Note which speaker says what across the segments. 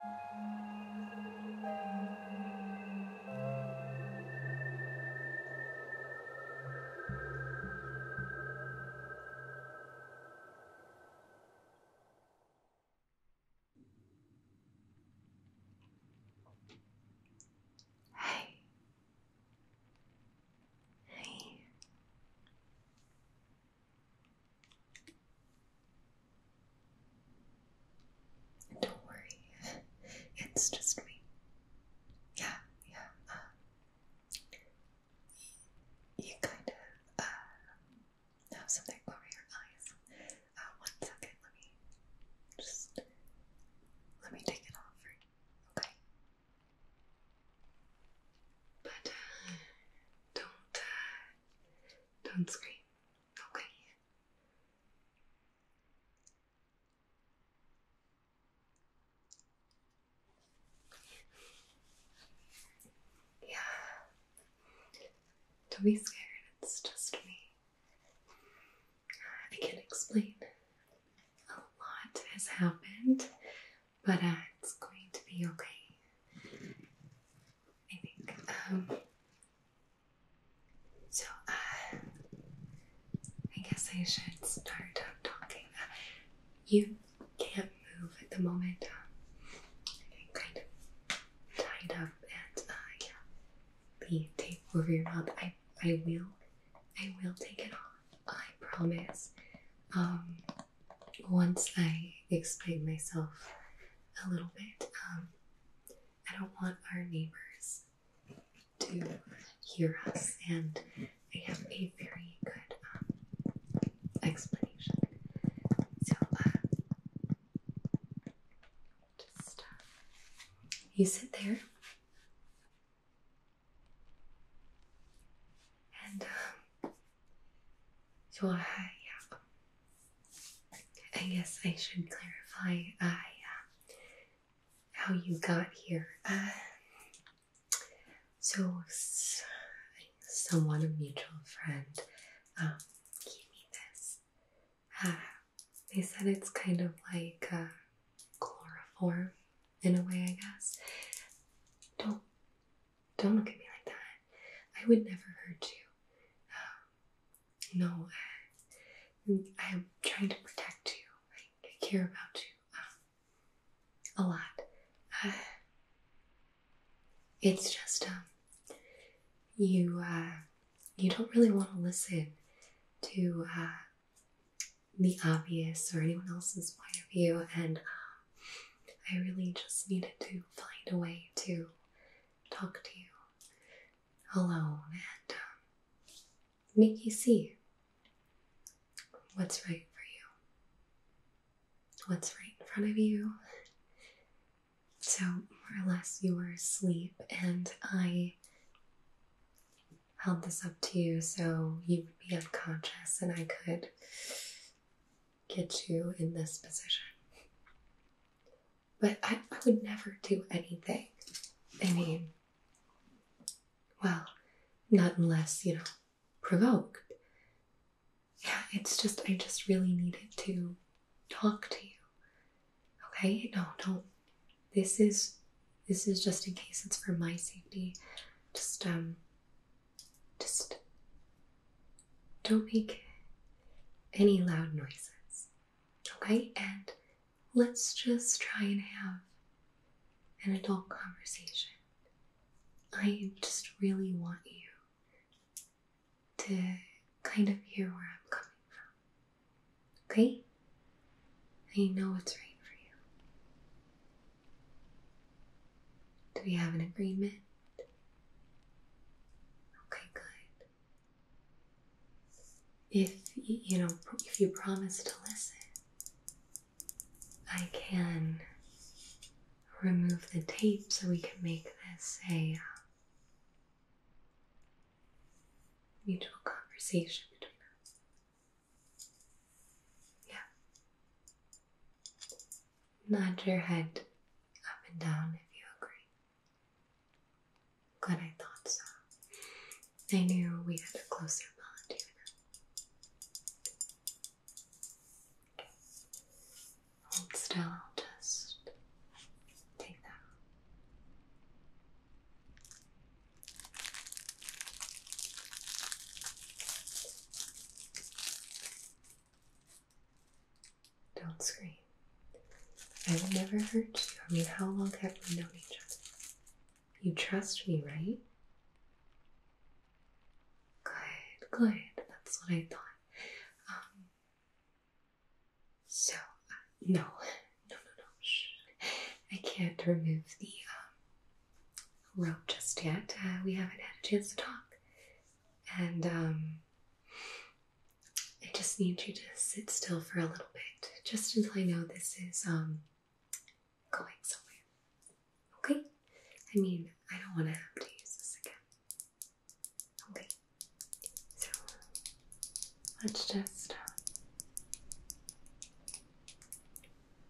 Speaker 1: Hey. Hey. Don't worry, it's just me. Yeah, yeah. Um, you kind of uh, have something over your eyes. Uh, one second, let me just let me take it off for you. Okay. But uh, don't don't scream. Okay. Yeah. Don't be scared, it's just me. I can explain. A lot has happened, but uh, it's going to be okay. I think. Um, so, uh, I guess I should start talking. Uh, you can't move at the moment. kind of tied up and, uh, yeah, the tape over your mouth. I, I will, I will take it off. I promise. Um, once I explain myself a little bit, um, I don't want our neighbors to hear us, and I have a very good um, explanation. So, uh, just uh, you sit there. And um, so yeah. I guess I should clarify I, uh, how you got here. Uh, so, someone, a mutual friend, um, gave me this. Uh, they said it's kind of like uh, chloroform in a way, I guess. do don't look at me like that. I would never hurt you. Um, no, I, am trying to protect you. I, care about you um, a lot. Uh, it's just um, you uh, you don't really want to listen to uh, the obvious or anyone else's point of view, and I really just needed to find a way to talk to you alone and um, make you see what's right for you, what's right in front of you. So, more or less, you were asleep, and I held this up to you so you would be unconscious and I could get you in this position. But I, I would never do anything. I mean, well, not unless, you know, provoked. Yeah, it's just, I just really needed to talk to you. Okay? No, don't. This is, this is just in case it's for my safety. Just, um, just don't make any loud noises, okay? And let's just try and have an adult conversation. I just really want you to kind of hear where I'm coming from, okay? I know what's right for you. Do we have an agreement? Okay, good. If you know, if you promise to listen, I can remove the tape so we can make this a uh, mutual conversation between us. Yeah. Nod your head up and down if you agree. Glad I thought so. I knew we had a closer bond Hold still, just take that. Don't scream. I will never hurt you. I mean, how long have we known each other? You trust me, right? Good, good. That's what I thought. Um, so, uh, no, no, no, no. I can't remove the um, rope just yet. Uh, we haven't had a chance to talk and um, I just need you to sit still for a little bit, just until I know this is um, going somewhere. Okay? I mean, I don't want to have to use this again. Okay. So let's just. Uh,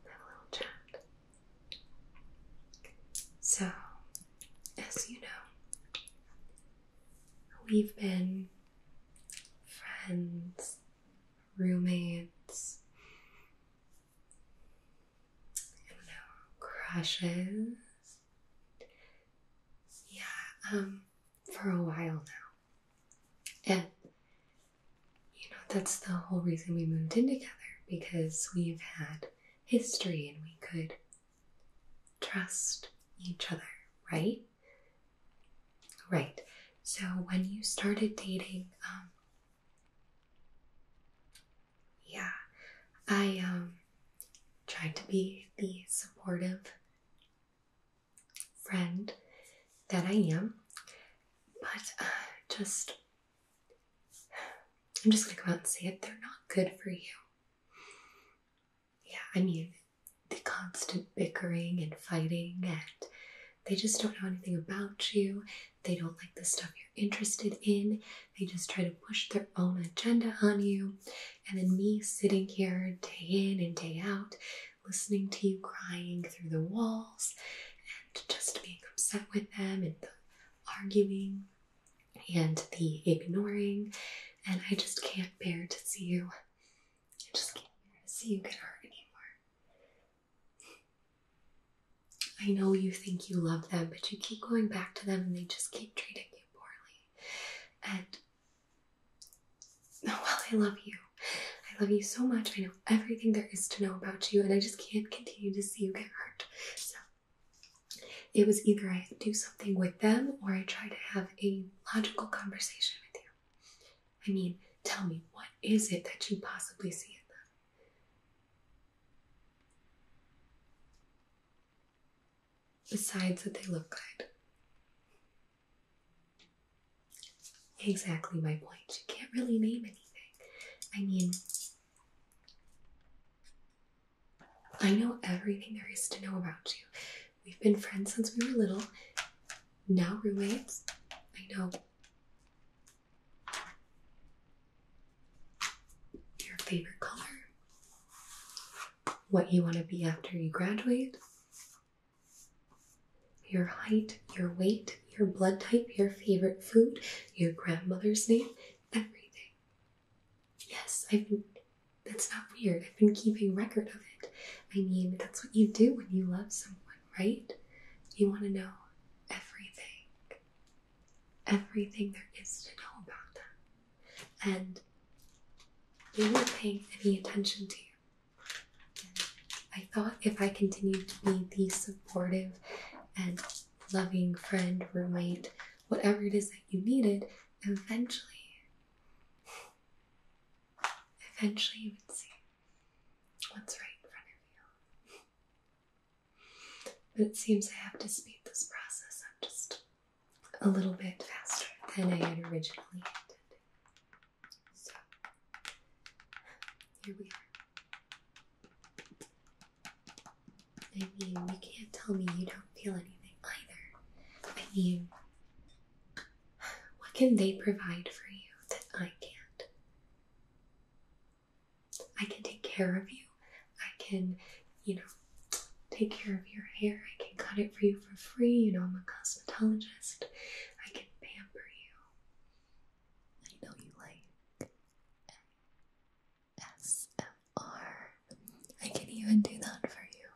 Speaker 1: have a little chat. So, as you know, we've been friends, roommates, I know, crushes. Yeah, um, for a while now. And you know, that's the whole reason we moved in together because we've had history and we could trust each other, right? Right. So when you started dating, um, yeah, I um, tried to be the supportive friend that I am, but uh, just I'm just gonna come out and say it, they're not good for you. Yeah, I mean, the constant bickering and fighting, and they just don't know anything about you. They don't like the stuff you're interested in. They just try to push their own agenda on you. And then, me sitting here day in and day out, listening to you crying through the walls and just being upset with them and the arguing and the ignoring. And I just can't bear to see you. I just can't bear to see you get hurt anymore. I know you think you love them, but you keep going back to them and they just keep treating you poorly. And oh, well, I love you. I love you so much. I know everything there is to know about you, and I just can't continue to you get hurt. So it was either I do something with them or I try to have a logical conversation with you. I mean, tell me, what is it that you possibly see in them? Besides that they look good. Exactly my point. You can't really name anything. I mean, I know everything there is to know about you. We've been friends since we were little, now roommates. I know. Your favorite color, what you want to be after you graduate, your height, your weight, your blood type, your favorite food, your grandmother's name, everything. Yes, I've been. That's not weird. I've been keeping record of it. I mean, that's what you do when you love someone, right? You want to know everything. Everything there is to know about them. And they weren't paying any attention to you. I thought if I continued to be the supportive and loving friend, roommate, whatever it is that you needed, eventually, eventually you would see what's right in front of you. But it seems I have to speed this process up just a little bit faster than I had originally intended. So here we are. I mean, you can't tell me you don't feel anything either. I mean, what can they provide for you that I can't? I can take care of you. I can, you know, take care of your hair. I can cut it for you for free. You know, I'm a cosmetologist. I can pamper you. I know you like ASMR. can even do that for you.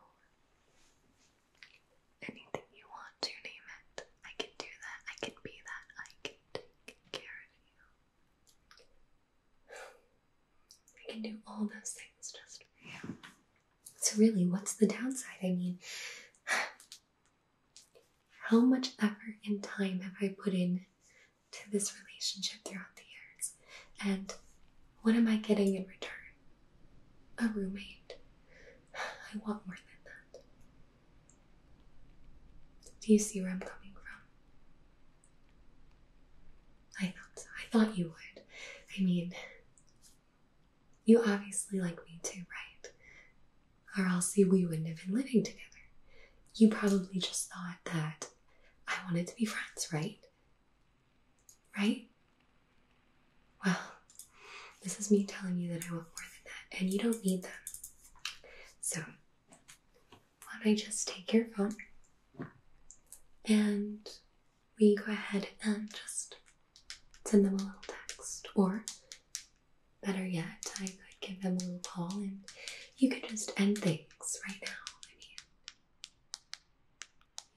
Speaker 1: Anything you want to name it, I can do that. I can be that. I can take care of you. I can do all those things just for you. So, really, what's the downside? I mean, how much effort and time have I put in to this relationship throughout the years? And what am I getting in return? A roommate. I want more than that. Do you see where I'm coming from? I thought I thought you would. I mean, you obviously like me too, right? Or else we wouldn't have been living together. You probably just thought that I wanted to be friends, right? Right? Well, this is me telling you that I want more than that, and you don't need them. So, why don't I just take your phone and we go ahead and just send them a little text or Better yet, I could give them a little call and you could just end things right now. I mean,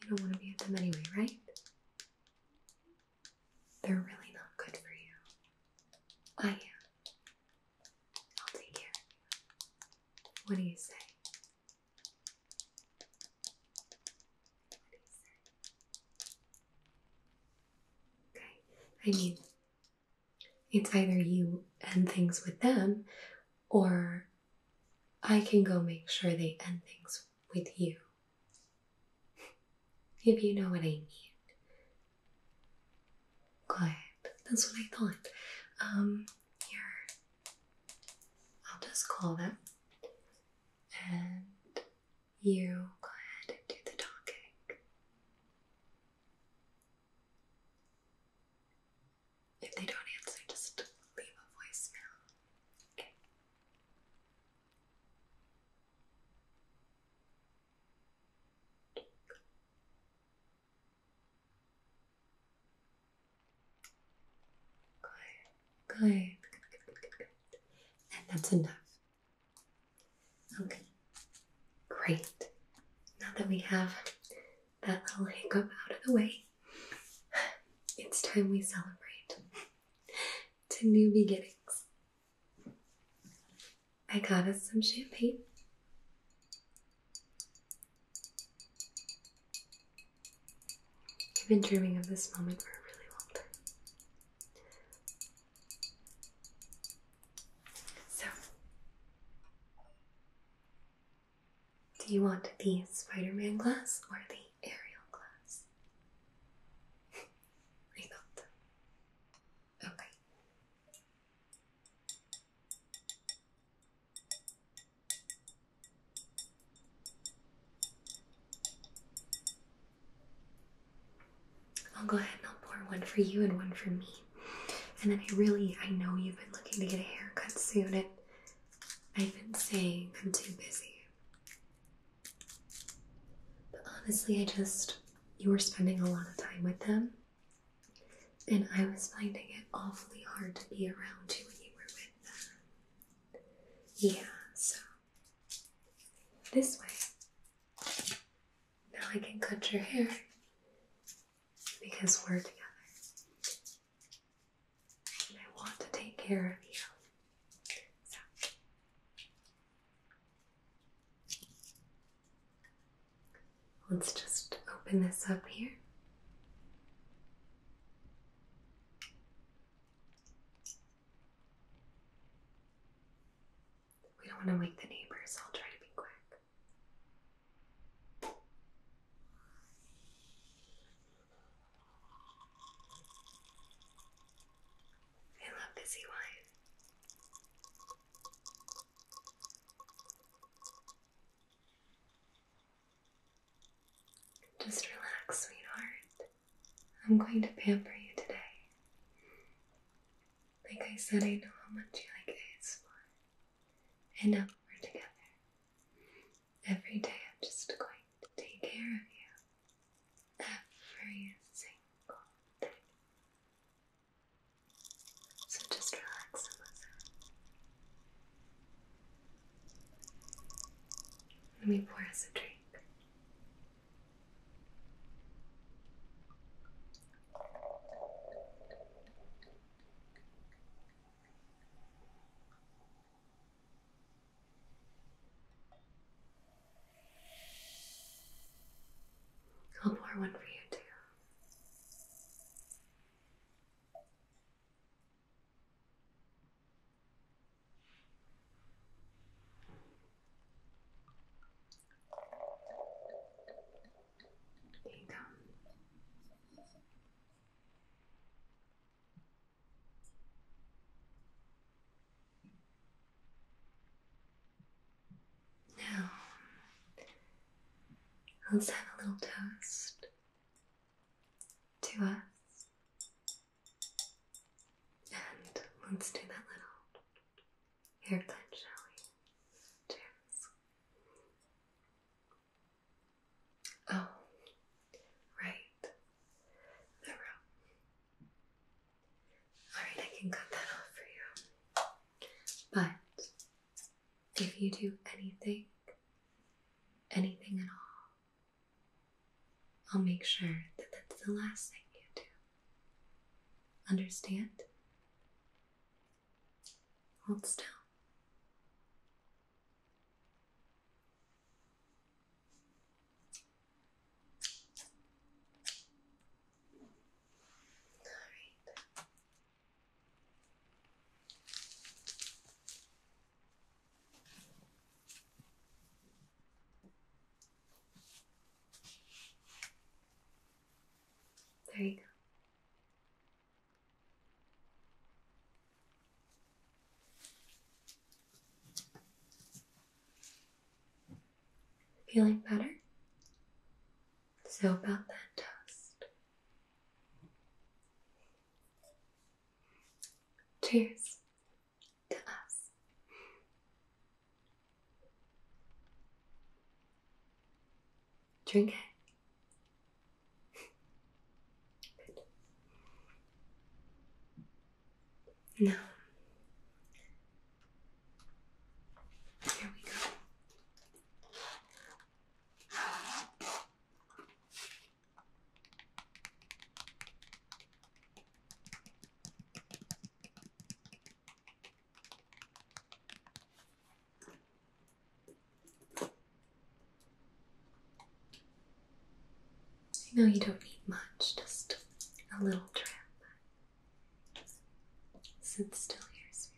Speaker 1: you don't want to be with them anyway, right? They're really not good for you. I am. will take care of you. What do you say? What do you say? Okay. I mean, it's either you end things with them or I can go make sure they end things with you. If you know what I mean. Quiet. That's what I thought. Um, here. I'll just call them and you go ahead and do the talking. If they don't answer, just leave a voicemail. Okay. Good. Good. And that's enough. Okay, great. Now that we have that little hiccup out of the way, it's time we celebrate to new beginnings. I got us some champagne. I've been dreaming of this moment for a really long time. So, do you want the Spider Man glass or the Ariel glass? I thought. Okay. I'll go ahead and I'll pour one for you and one for me. And then I really, I know you've been looking to get a haircut soon, and I've been saying I'm too busy. But honestly, I just, you were spending a lot of time with them, and I was finding it awfully hard to be around you when you were with them. Yeah, so this way. Now I can cut your hair because we're together. I want to take care of you. Let's just open this up here. We don't want to wake the neighbors, I'll try to be quick. I love busy wine. Just relax, sweetheart. I'm going to pamper you today. Like I said, I know how much you like it, And now we're together, every day I'm just going to take care of you. Every single day. So just relax and listen. Let me pour us a drink. I'll pour one for you too. There you go. Now, let's have a little toast to us and let's do that little hair shall we? Cheers. Oh, right. The rope. Alright, I can cut that off for you. But if you do anything, anything at all, I'll make sure that that's the last thing you do. Understand? Hold still. All right. There you go. Feeling better? So about that toast. Cheers to us. Drink it. Now, here we go. I know you don't need much, just a little drip. Sit still here, sweetie.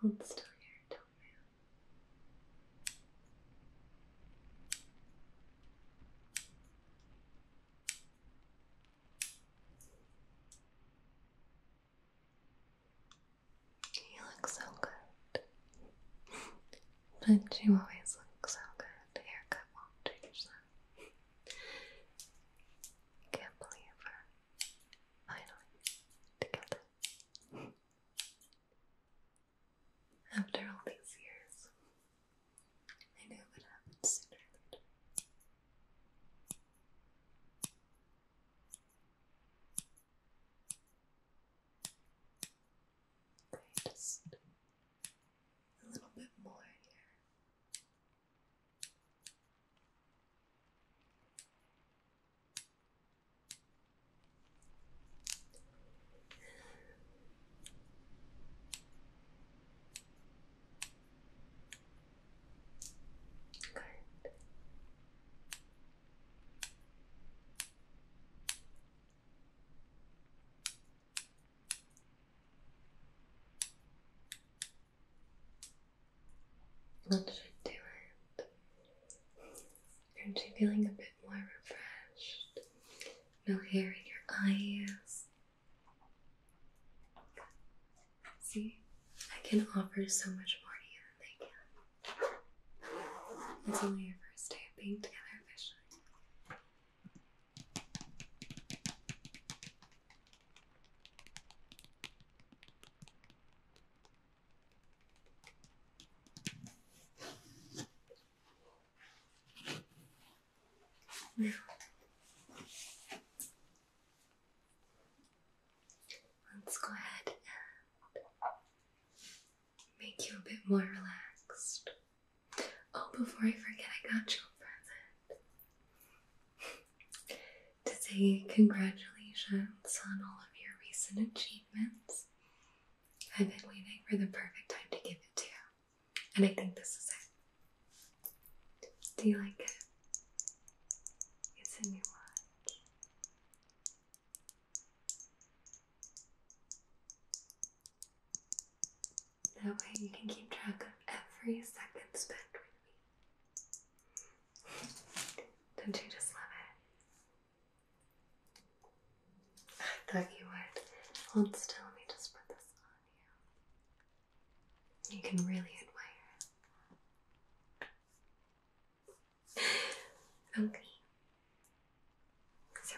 Speaker 1: Hold still here, don't move. You look so good. but you always look so good. haircut won't change that. Can't believe her. Finally, together. After all these years, I knew it would happen sooner or later. They a little bit more here. Good. That should do it. Aren't you feeling a bit more refreshed? No hair in your eyes. See, I can offer so much more to you than they can. It's only your first day of being together officially. Let's go ahead and make you a bit more relaxed. Oh, before I forget, I got you a present. to say congratulations on all of your recent achievements. I've been waiting for the perfect time to give it to you, and I think this is it. Do you like it? It's a new one. That way you can keep track of every second spent with me. Don't you just love it? I thought you would. Hold still, let me just put this on you. You can really admire Okay, so.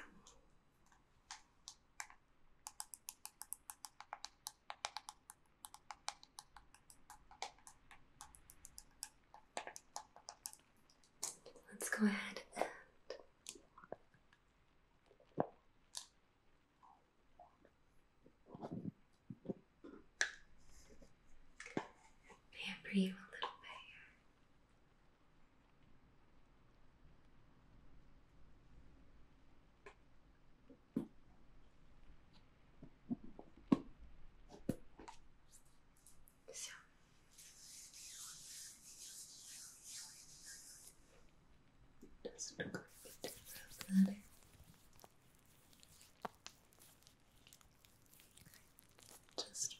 Speaker 1: Let's go ahead and pamper you a little bit so. Doesn't look like it bladder. Just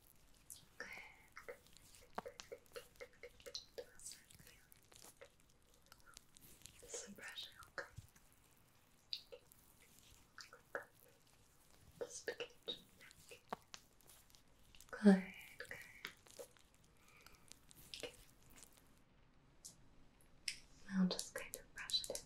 Speaker 1: Good. How's that feeling? Is the pressure okay? Good. Just begin to neck. Good, good. Okay. Now just kind of brush it in.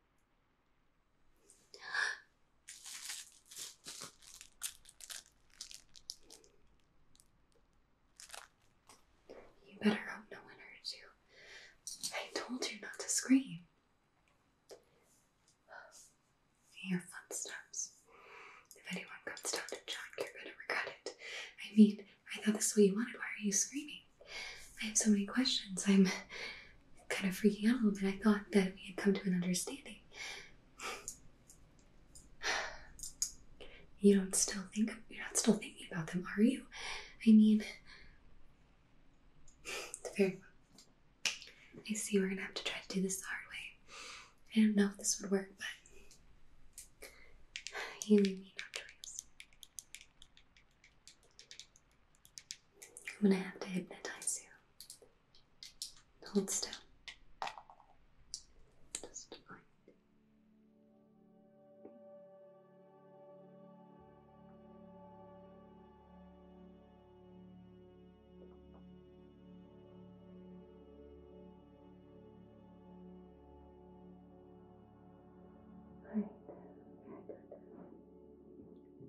Speaker 1: You better hope no one hurts you. I told you not to scream. Your fun stops. If anyone comes down to check, you're gonna regret it. I mean, I thought this was what you wanted. Why are you screaming? I have so many questions. I'm kind of freaking out a little bit. I thought that we had come to an understanding. You don't still think you're not still thinking about them, are you? I mean, very I see we're gonna have to try to do this the hard way. I don't know if this would work, but you leave me no choice. I'm gonna have to hypnotize you. Hold still. Just fine. All right, very good.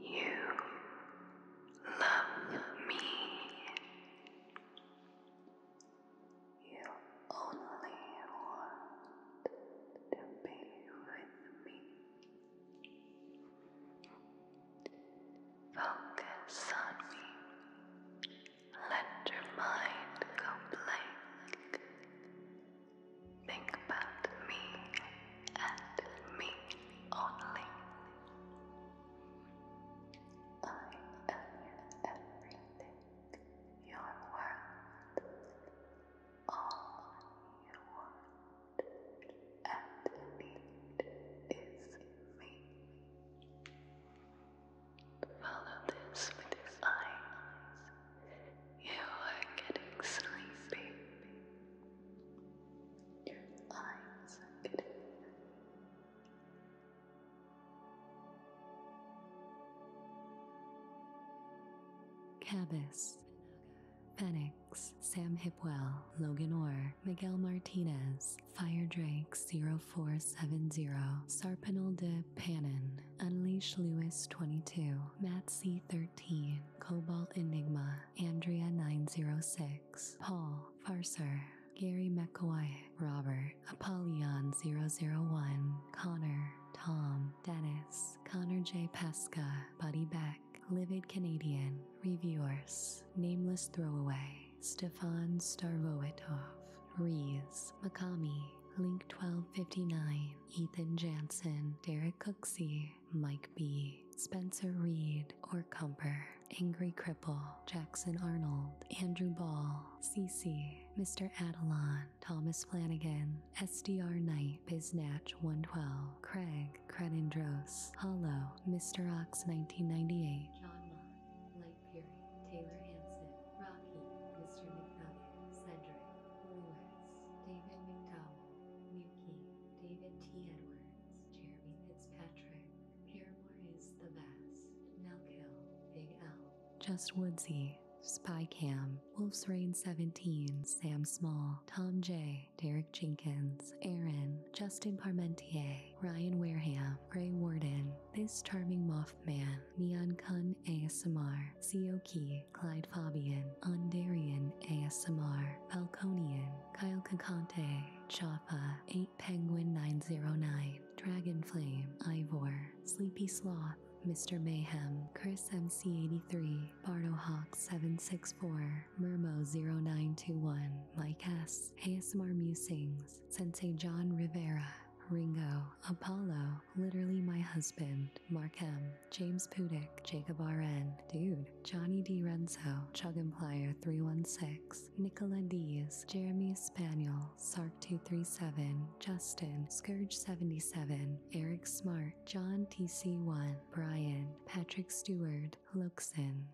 Speaker 1: You love me. You only want to be with me. Focus on me. Let your mind go blank. Think about me and me only. I am everything, your world, all you want and need is me. Follow this with your eyes. You are getting sleepy. Your eyes are getting Cabas, Phoenix, Sam Hipwell, Logan Orr, Miguel Martinez, Fire Drake 0470, Sarpanel de Panin, Unleash Lewis 22, Matt C 13, Cobalt Enigma, Andrea 906, Paul Farser. Gary McCoy, Robert, Apollyon 001, Connor, Tom, Dennis, Connor J. Pesca, Buddy Beck, Livid Canadian, Reviewers, Nameless Throwaway, Stefan Starvoitov, Rees, Makami, Link 1259, Ethan Jansen, Derek Cooksey, Mike B, Spencer Reed, or Cumper, Angry Cripple, Jackson Arnold, Andrew Ball, CC, Mr. Adelon, Thomas Flanagan, SDR Knight, Biznatch112, Craig, Crenindros, Hello, Mr. Ox 1998, Perry, Taylor Hanson, Rocky, Mr. McNutter, Cedric, Lewis, David McDowell, Muki, David T. Edwards, Jeremy Fitzpatrick, Paramore is the best, Nelkill, Big L, Just Woodsy, Cam, Wolf's Raid 17, Sam Small, Tom J, Derek Jenkins, Aaron, Justin Parmentier, Ryan Wareham, Gray Warden, this Charming Mothman, Neon Kun ASMR, Seoki, Clyde Fabian, Undarian ASMR, Falconian, Kyle Kakante, Chapa, 8 Penguin 909, Dragon Flame, Ivor, Sleepy Sloth, Mr. Mayhem, Chris MC83, Bardohawk 764, Murmo 0921, Mike S, ASMR Musings, Sensei John Rivera, Ringo, Apollo, Literally My Husband, Markham, James Pudick, Jacob RN, Dude, Johnny D. Renzo, Chug and Player 316, Nicola Diaz, Jeremy Spaniel, Sark 237, Justin, Scourge 77, Eric Smart, John TC1, Brian, Patrick Stewart, Luxon.